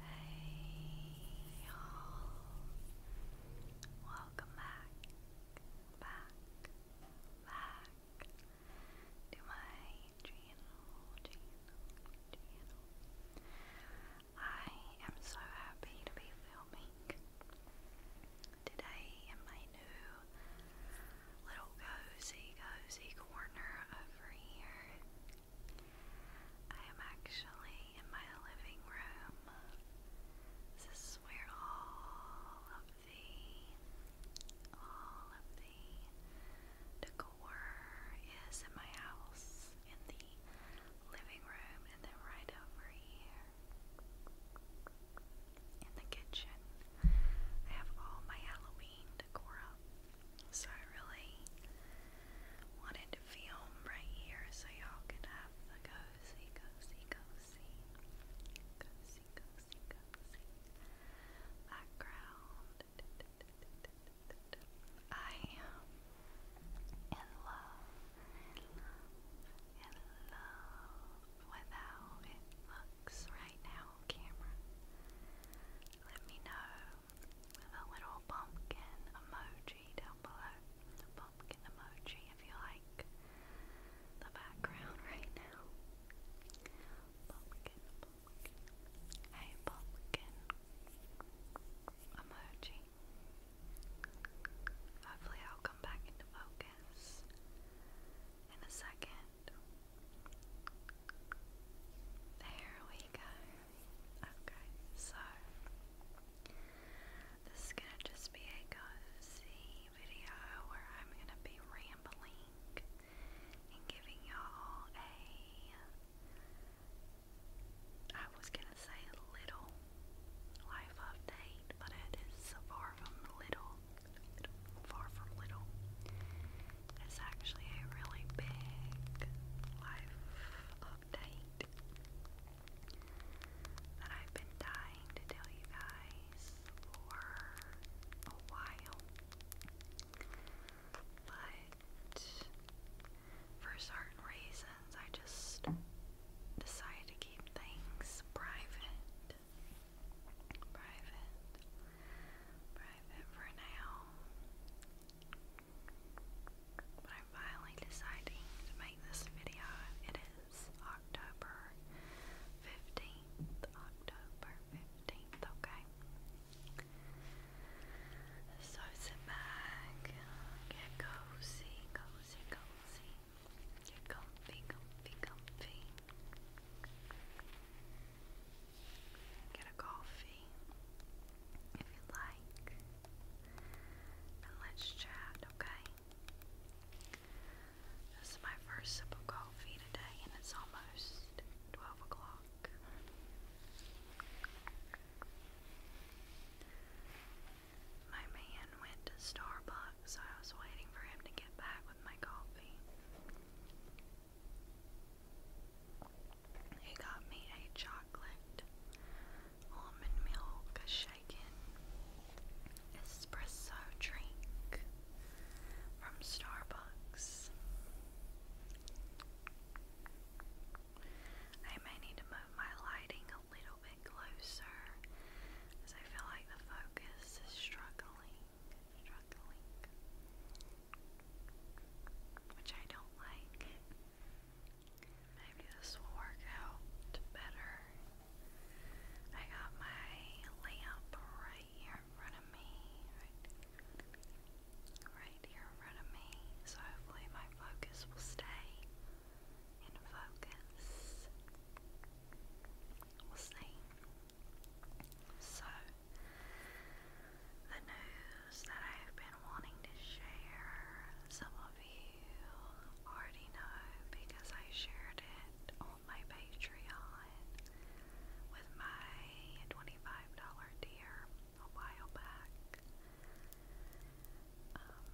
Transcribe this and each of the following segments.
Hey y'all. Welcome back, back, back to my channel, I am so happy to be filming today in my new little cozy, cozy corner over here. I am actually in my living room. This is where all of the, all of the decor is in my house, in the living room, and then right over here in the kitchen. I have all my Halloween decor up. So I really wanted to film right here so y'all could have the cozy, cozy, cozy, cozy, cozy, cozy background. I am in love, in love, in it looks right now camera. Let me know with a little pumpkin emoji down below. pumpkin emoji if you like the background right now. pumpkin emoji. Hopefully, I'll come back into focus in a second. There we go. Okay, so this is gonna just be a cozy video where I'm gonna be rambling and giving y'all a I was gonna say little life update, but it is far from little far from little. It's actually a really big life update that I've been dying to tell you guys for a while. But for certain reasons, I just decided to keep things private private, private for now. But I'm finally deciding to make this video. It is October 15th, October 15th, okay? sit back, get cozy, cozy, cozy, get comfy, comfy, comfy. Get a coffee if you like, and let's chat, okay? This is my first sip of coffee today, and it's almost 12 o'clock. My man went to Starbucks, so I was waiting for him to get back with my coffee. He got me a chocolate almond milk shaken espresso drink from Starbucks. I may need to move my lighting a little bit closer because I feel like the focus is struggling which I don't like. Maybe this will work out better. I got my lamp right here in front of me, right here in front of me, so hopefully my focus will stay in focus. We'll see. So, the news that I've been wanting to share, some of you already know because I shared it on my Patreon with my $25 tier a while back. Um,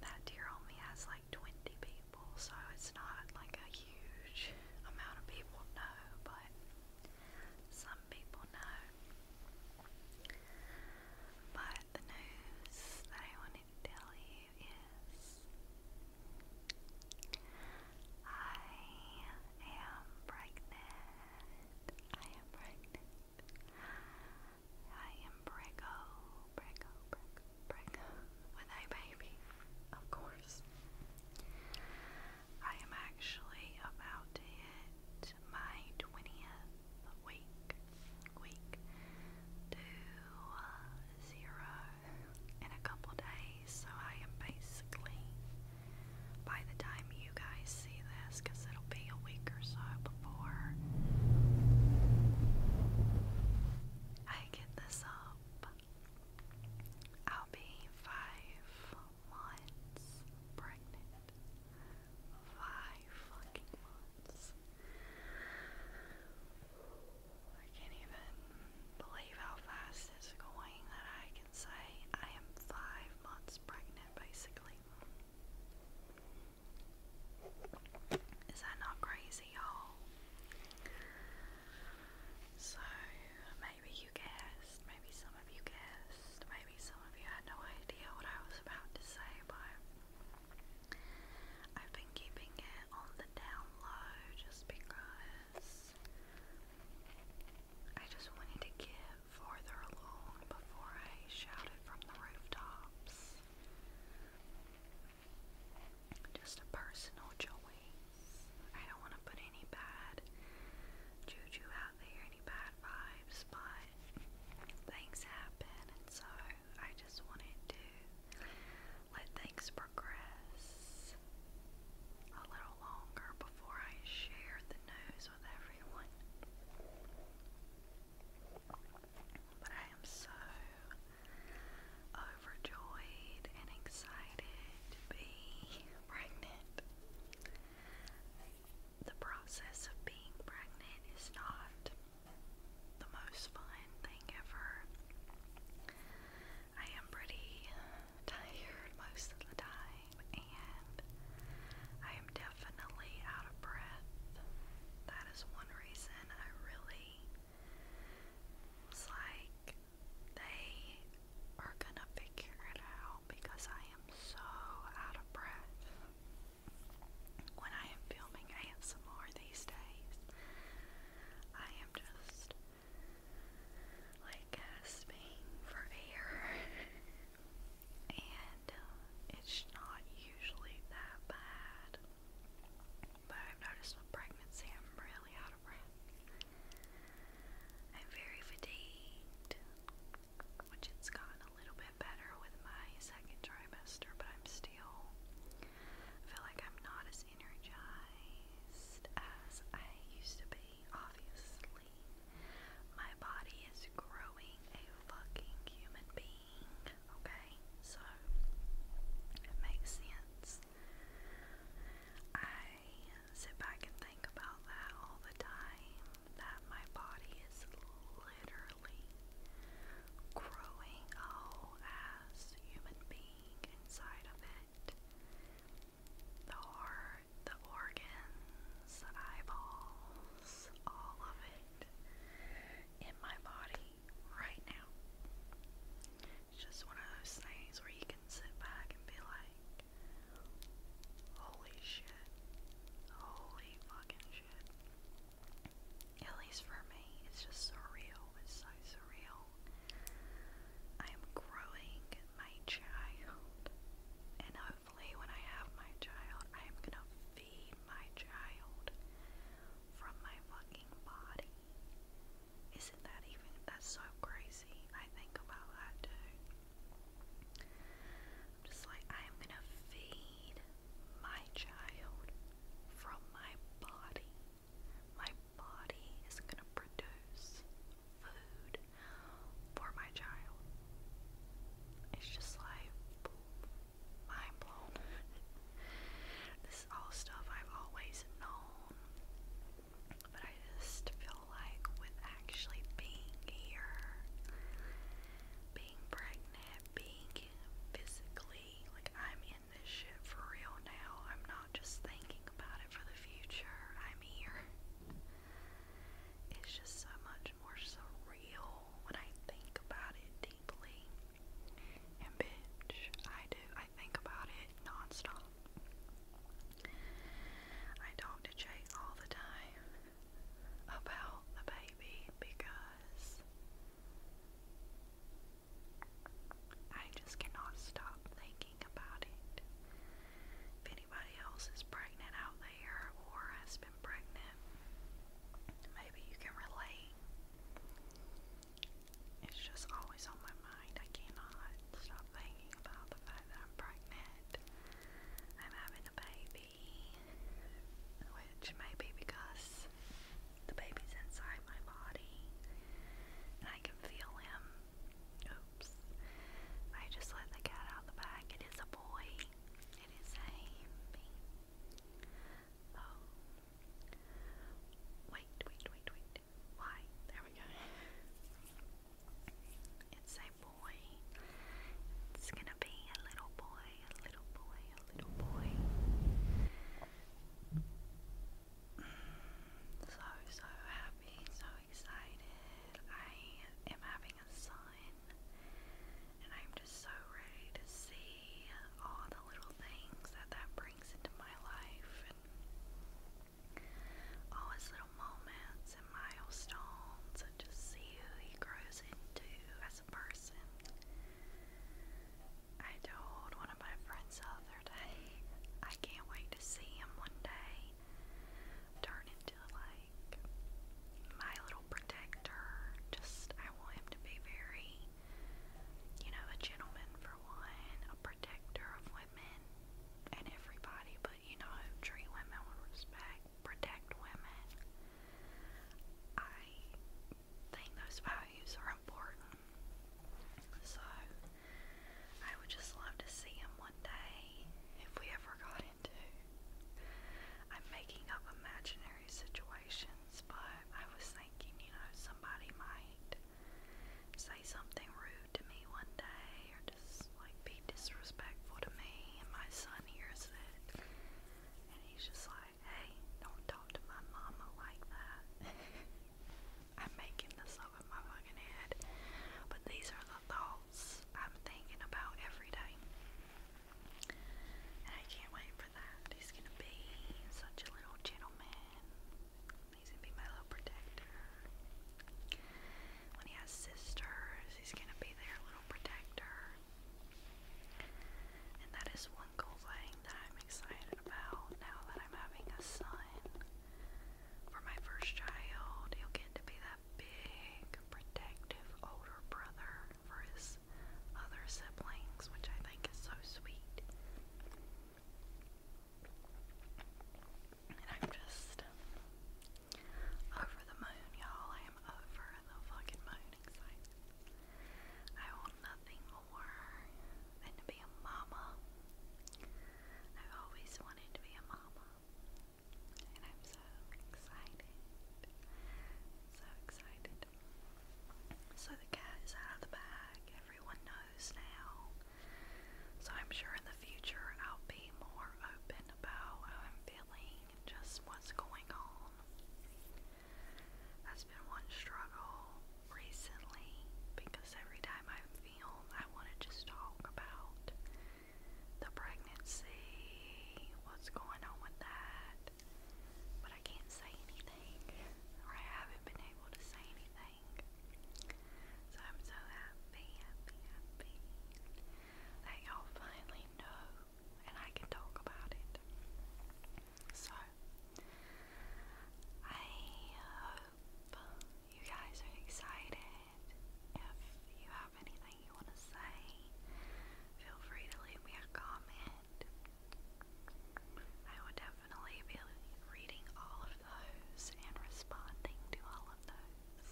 that tier only has like 20 people, so it's not like a huge amount of people know, but some people know. But the news I wanted to tell you is I am pregnant. I am pregnant. I am Bricko, Bricko, Bricko, with a baby, of course. I am actually about to hit my 20th week, week to uh, in a couple days, so I am basically, by the time you guys see this, because it'll be a week or so before I get this up, I'll be five months pregnant. Five fucking months. I can't even believe how fast it's going that I can say I am five months pregnant, basically. Is that not crazy, y'all? So, maybe you guessed, maybe some of you guessed, maybe some of you had no idea what I was about to say, but I've been keeping it on the down low just because I just wanted to get farther along before I shouted from the rooftops. Just a personal choice. I don't want to put any bad juju out there, any bad vibes, but things happen, and so I just wanted to let things progress a little longer before I share the news with everyone. But I am so overjoyed and excited to be pregnant. The process of being pregnant is not the most fun thing ever. I am pretty tired most of the time, and I am definitely out of breath. That is one reason I really was like, they are gonna figure it out because I am so out of breath when I am filming ASMR these days. I am just like gasping for air, it's not usually that bad. But I've noticed with pregnancy, I'm really out of breath. I'm very fatigued, which it's gotten a little bit better with my second trimester, but I'm still, feel like I'm not as energized as I used to be, obviously. My body is growing a fucking human being. Okay, so it makes sense. I sit back and think about that all the time that my body is literally growing a whole ass human being inside of it. The heart, the organs, eyeballs, all of it in my body right now. It's just one of those things where you can sit back and be like, holy shit, holy fucking shit. At least for me, it's just surreal. It's so surreal. I am growing my child, and hopefully when I have my child, I am gonna feed my child from my fucking body. Isn't that even, that's so crazy. I think about that too. just like, I am gonna feed my child from my body. My body is gonna produce food for my child. It's just like, mind blown. this is all stuff I've always known. But I just feel like with actually being here, being pregnant, being physically, like I'm in this shit for real now. I'm not just thinking about it for the future. I'm here. It's just so much more surreal when I think about it deeply. And bitch, I do. I think about it nonstop. I talk to Jay all the time about the baby because I just cannot stop thinking about it. If anybody else is pregnant out or has been pregnant, maybe you can relate. It's just always on my mind. I cannot stop thinking about the fact that I'm pregnant. I'm having a baby, which may be because the baby's inside my body and I can feel him. Oops. I just let the cat out of the bag. It is a boy. It is a B. Oh. Wait, wait, wait, wait. Why? There we go. It's a boy. It's gonna be a little boy, a little boy, a little boy. So, so happy, so excited. I am having a sign and I'm just so ready to see all the little things that that brings into my life and all his little moments and milestones and just see who he grows into as a person. I told one of my friends the other day, I can't wait to see him one day turn into like my little protector. Just, I want him to be very, you know, a gentleman for one, a protector of women and everybody, but you know, treat women with respect, protect women. I think those values are important. So, I would just love to see him one day if we ever got him. I'm making up imaginary situations, but I was thinking, you know, somebody might say something rude to me one day or just like be disrespectful to me, and my son hears it. And he's just like, hey, don't talk to my mama like that. I'm making this up in my fucking head. But these are the thoughts. I'm thinking about every day. And I can't wait for that. He's gonna be such a little gentleman. He's gonna be my little protector. When he has sisters, he's gonna be their little protector. And that is one cool thing that I'm excited about now that I'm having a son. For my first child, he'll get to be that big protective older brother for his other siblings, which I think is so sweet. And I'm just over the moon, y'all. I am over the fucking moon I want nothing more than to be a mama. I've always wanted to be a mama. And I'm so excited. So excited. So the cat is out of the bag. Everyone knows now. So I'm sure in the future I'll be more open about how I'm feeling and just what's going on. That's been one struggle recently because every time I film, I want to just talk about the pregnancy, what's going on with that. But I can't say anything, or I haven't been able to say anything. So I'm so happy, happy, happy that y'all finally know and I can talk about it. So, I hope you guys are excited if you have anything you want to say, feel free to leave me a comment. I would definitely be reading all of those and responding to all of those.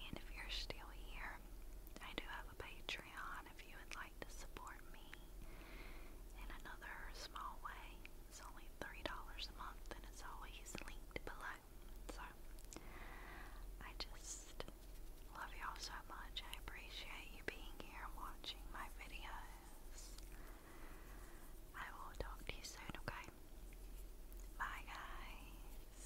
And if you're still here, I do have a Patreon if you would like to support me in another small way. It's only $3 a month and it's always linked below. So, I just love y'all so much. I appreciate you being here and watching my videos. I will talk to you soon, okay? Bye, guys.